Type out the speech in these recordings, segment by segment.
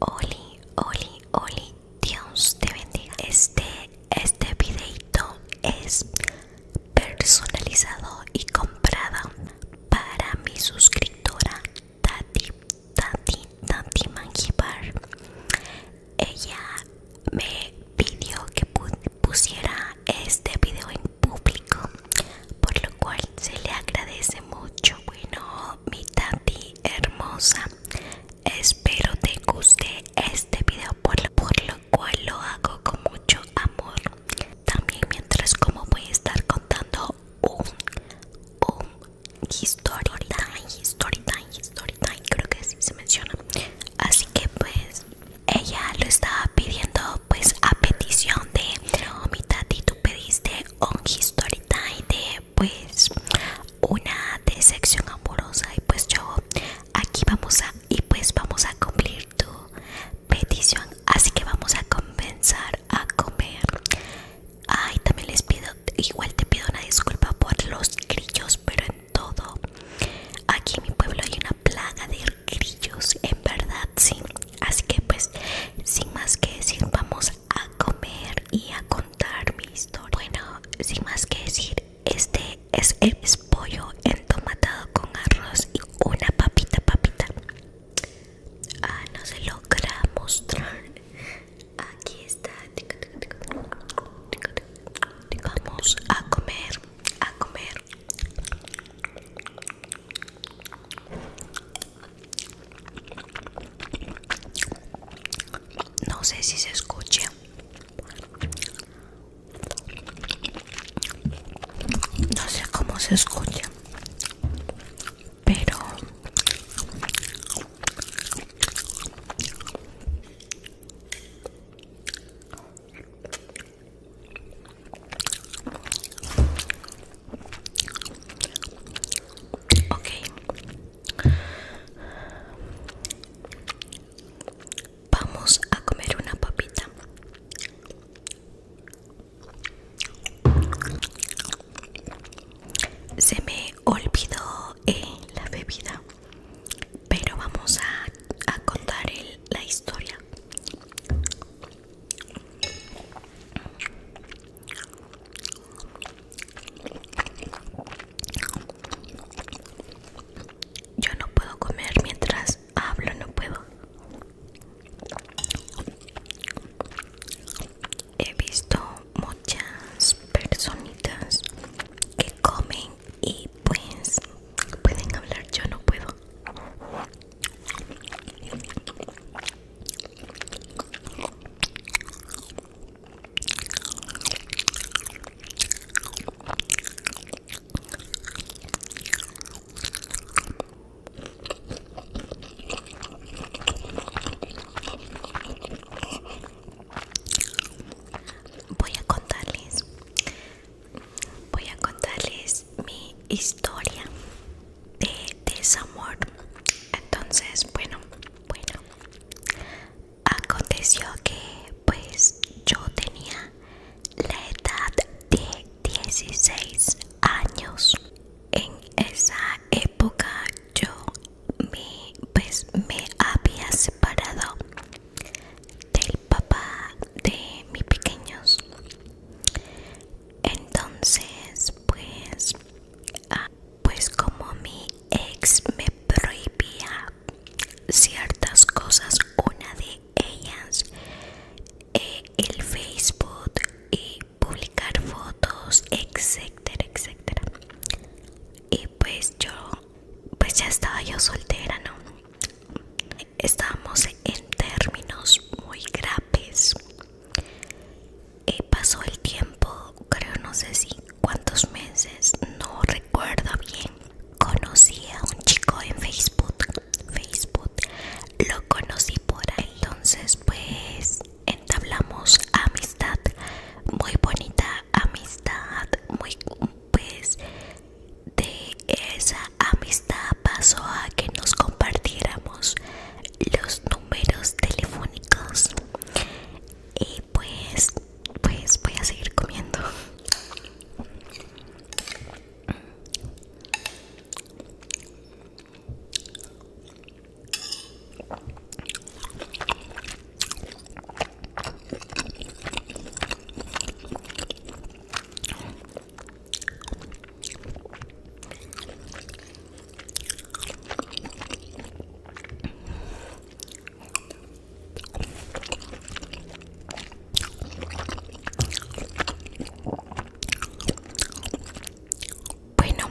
Oli, oli, oli, Dios te bendiga. Este, este videito es personalizado y comprado para mi suscriptora Tati, Tati, Tati Mangibar. Ella me pidió que pusiera este video en público, por lo cual se le agradece mucho. Bueno, mi tati hermosa espero te guste este video por lo, cual lo hago con mucho amor también mientras como voy a estar contando un un creo que así se menciona así que pues ella lo estaba pidiendo pues a petición de mi tati tú pediste un history de pues una decepción amorosa y pues yo aquí vamos a y pues vamos a cumplir tu petición así que vamos a comenzar a comer ay también les pido igual te pido una disculpa por los grillos pero en todo aquí en mi pueblo hay una plaga de grillos en verdad sí así que pues sin más que decir vamos a a comer y a contar mi historia. Bueno, sin más que decir, este es el pollo entomatado con arroz y una papita, papita. Ah, no se logra mostrar. Aquí está. Vamos a comer, a comer. No sé si se escucha No sé cómo se escucha. Pero Ok. Vamos a comer una papita. Se me olvidó en eh, la bebida, pero vamos a, contar la historia. Yo no puedo comer mientras hablo, no puedo. He visto muchas personitas que comen y pues pueden hablar, yo no puedo. Voy a contarles voy a contarles mi historia de desamor. Entonces, bueno, bueno, aconteció que pues yo tenía la edad de 16 años. En esa época yo me, pues, me había separado del papá de mis pequeños entonces pues, ah, pues como mi ex me prohibía ciertas cosas una de ellas eh, el facebook y publicar fotos etcétera etcétera y pues yo pues ya estaba yo soltera no estábamos en términos muy graves. Eh, pasó el tiempo, creo no sé si cuántos meses, no recuerdo bien. Conocí a un chico en Facebook, Facebook, lo conocí por ahí. Entonces pues entablamos amistad, muy bonita amistad, muy pues de esa amistad pasó a que nos compartiéramos los números telefónicos. Y pues, pues voy a seguir comiendo. Bueno,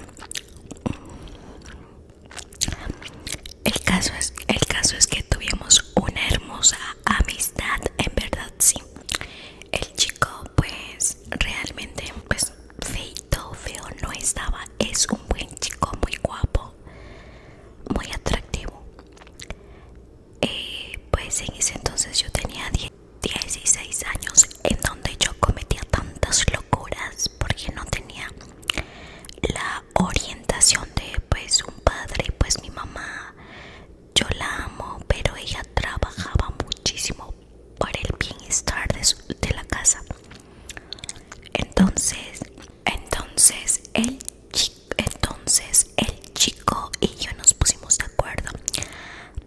el caso es el caso es que tuvimos una hermosa amistad en verdad sí el chico pues realmente pues feito feo no estaba es un buen chico muy guapo muy atractivo eh, pues en ese entonces yo tenía 16 años en donde yo cometía tantas locuras porque no tenía la orientación de pues un padre pues mi mamá yo la amo, pero ella trabajaba muchísimo para el bienestar de, la casa. Entonces, entonces el, entonces el chico y yo nos pusimos de acuerdo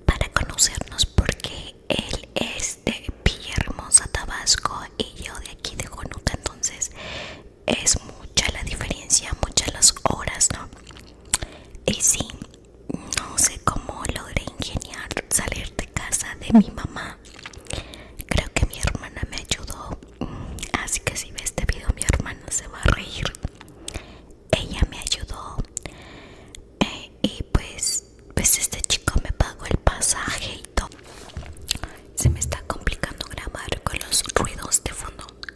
para conocernos porque él es de Villahermosa, Tabasco y yo de aquí de Conuca. Entonces es mucha la diferencia, muchas las horas, ¿no? Y sí, no sé cómo logré ingeniar salir de casa de mi mamá. Creo que mi hermana me ayudó. Mm, así que si ve este video, mi hermana se va a reír. Ella me ayudó. Eh, y pues, pues este chico me pagó el pasaje todo. Se me está complicando grabar con los ruidos de fondo.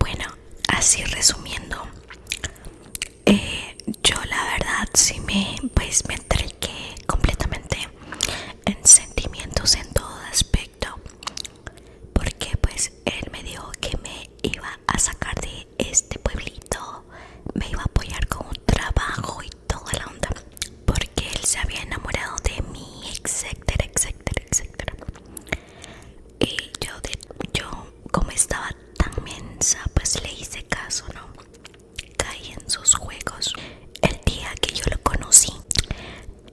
Bueno, así resumiendo, eh, yo la verdad sí me, pues, me entregué completamente en sentimientos en todo aspecto, porque pues él me dijo que me iba a sacar de este pueblito, me iba a apoyar con un trabajo y toda la onda, porque él se había enamorado de mí, etcétera, etcétera, etcétera y yo, yo como estaba tan mensa pues le hice caso no caí en sus juegos el día que yo lo conocí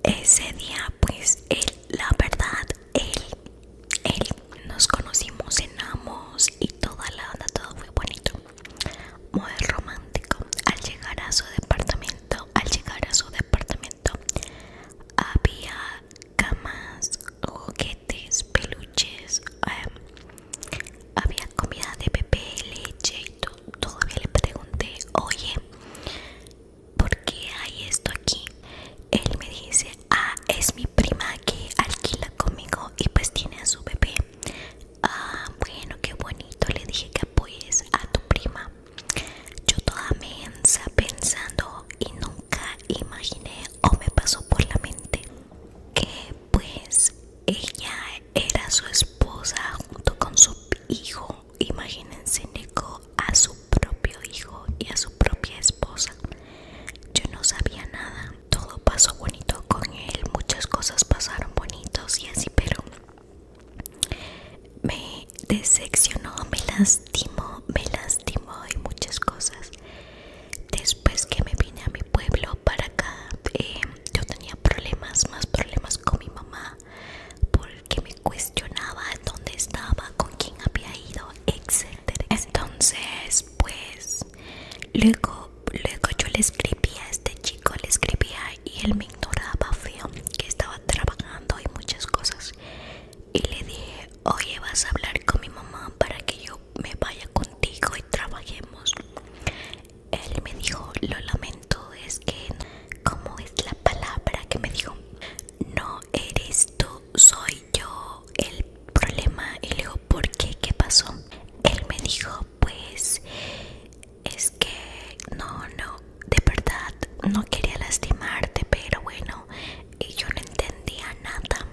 ese día pues él la verdad él él nos conocimos cenamos y toda la onda todo fue bonito muy romántico al llegar a su departamento al llegar a su departamento había camas, juguetes, peluches, eh, había comida de bebé, leche y todo. Todavía le pregunté, oye, ¿por qué hay esto aquí? Él me dice, ah, es mi prima que alquila conmigo y pues tiene a su bebé. Ah, bueno, qué bonito. Le dije que apoyes a tu prima. Yo toda mensa pensando y nunca imaginé o me pasó por la mente que pues ella era su esposa junto con su hijo. Imagínense, Neko a su propio hijo y a su propia esposa. Yo no sabía nada, todo pasó bonito con él, muchas cosas pasaron bonitos y así, pero me decepcionó, me lastimó, me lastimó y muchas cosas. Después que me vine a mi pueblo para acá, em, yo tenía problemas, más problemas con mi mamá, porque me cuestionaba dónde estaba, con quién había ido, etc Entonces, pues, luego, luego yo le escribía a este chico, le escribía y él me ignoraba feo, que estaba trabajando y muchas cosas y le dije, oye, vas a hablar con mi mamá para que yo me vaya contigo y trabajemos. Él me dijo, lo lamento, es que, ¿cómo es la palabra que me dijo? No eres tú, soy yo el problema. Y le digo, ¿por qué? ¿Qué pasó? Él me dijo, pues es que no, no, de verdad no quería lastimarte, pero bueno, yo no entendía nada.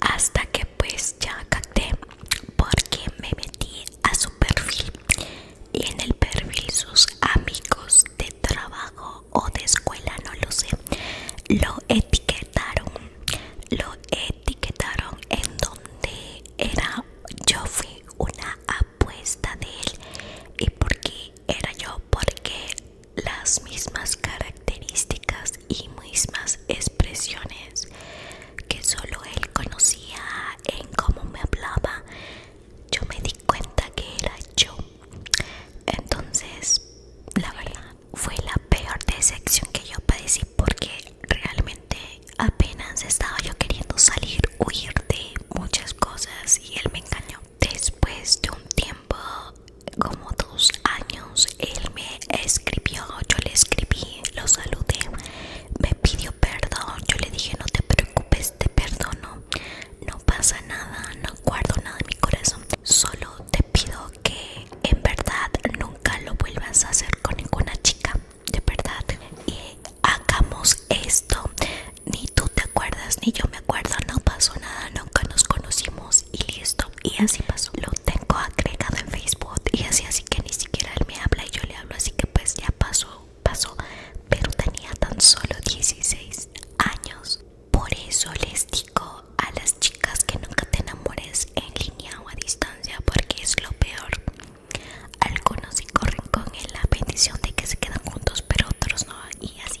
Hasta que pues ya capté porque me metí a su perfil y en el perfil sus amigos de trabajo o de escuela, no lo sé, lo etiquetaron. Lo etiquetaron en donde era yo fui una apuesta de él y porque era yo porque las mismas características y mismas expresiones que solo él conocía en cómo me hablaba yo me di cuenta que era yo entonces la verdad fue la peor decepción que yo padecí porque realmente apenas estaba yo queriendo salir, huir de muchas cosas y él me engañó. Después de un tiempo, como dos años, él me escribió, yo le escribí, lo saludé, me pidió perdón, yo le dije no te preocupes, te perdono, no pasa nada, no guardo nada en mi corazón, solo te pido que en verdad nunca lo vuelvas a hacer con ninguna chica de verdad y hagamos esto ni tú te acuerdas ni yo me acuerdo no pasó nada nunca nos conocimos y listo y así pasó lo tengo agregado en facebook y así así que ni siquiera él me habla y yo le hablo así que pues ya pasó pasó pero tenía tan solo 16 años por eso les digo a las chicas que nunca te enamores en línea o a distancia porque es lo peor algunos sí corren con la bendición de que se quedan juntos, pero otros no, y así.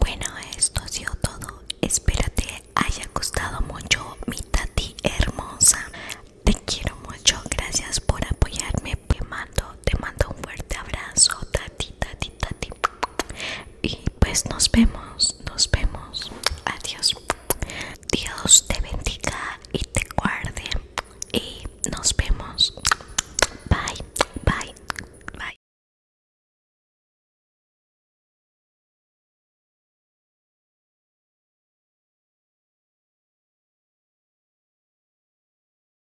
Bueno, esto ha sido todo. Espero te haya gustado mucho, mi tati hermosa. Te quiero mucho. Gracias por apoyarme. Te mando, te mando un fuerte abrazo, tati, tati, tati. Y pues nos vemos, nos vemos. Adiós. Dios te bendiga y te guarde. Y nos vemos. Bye, bye, bye.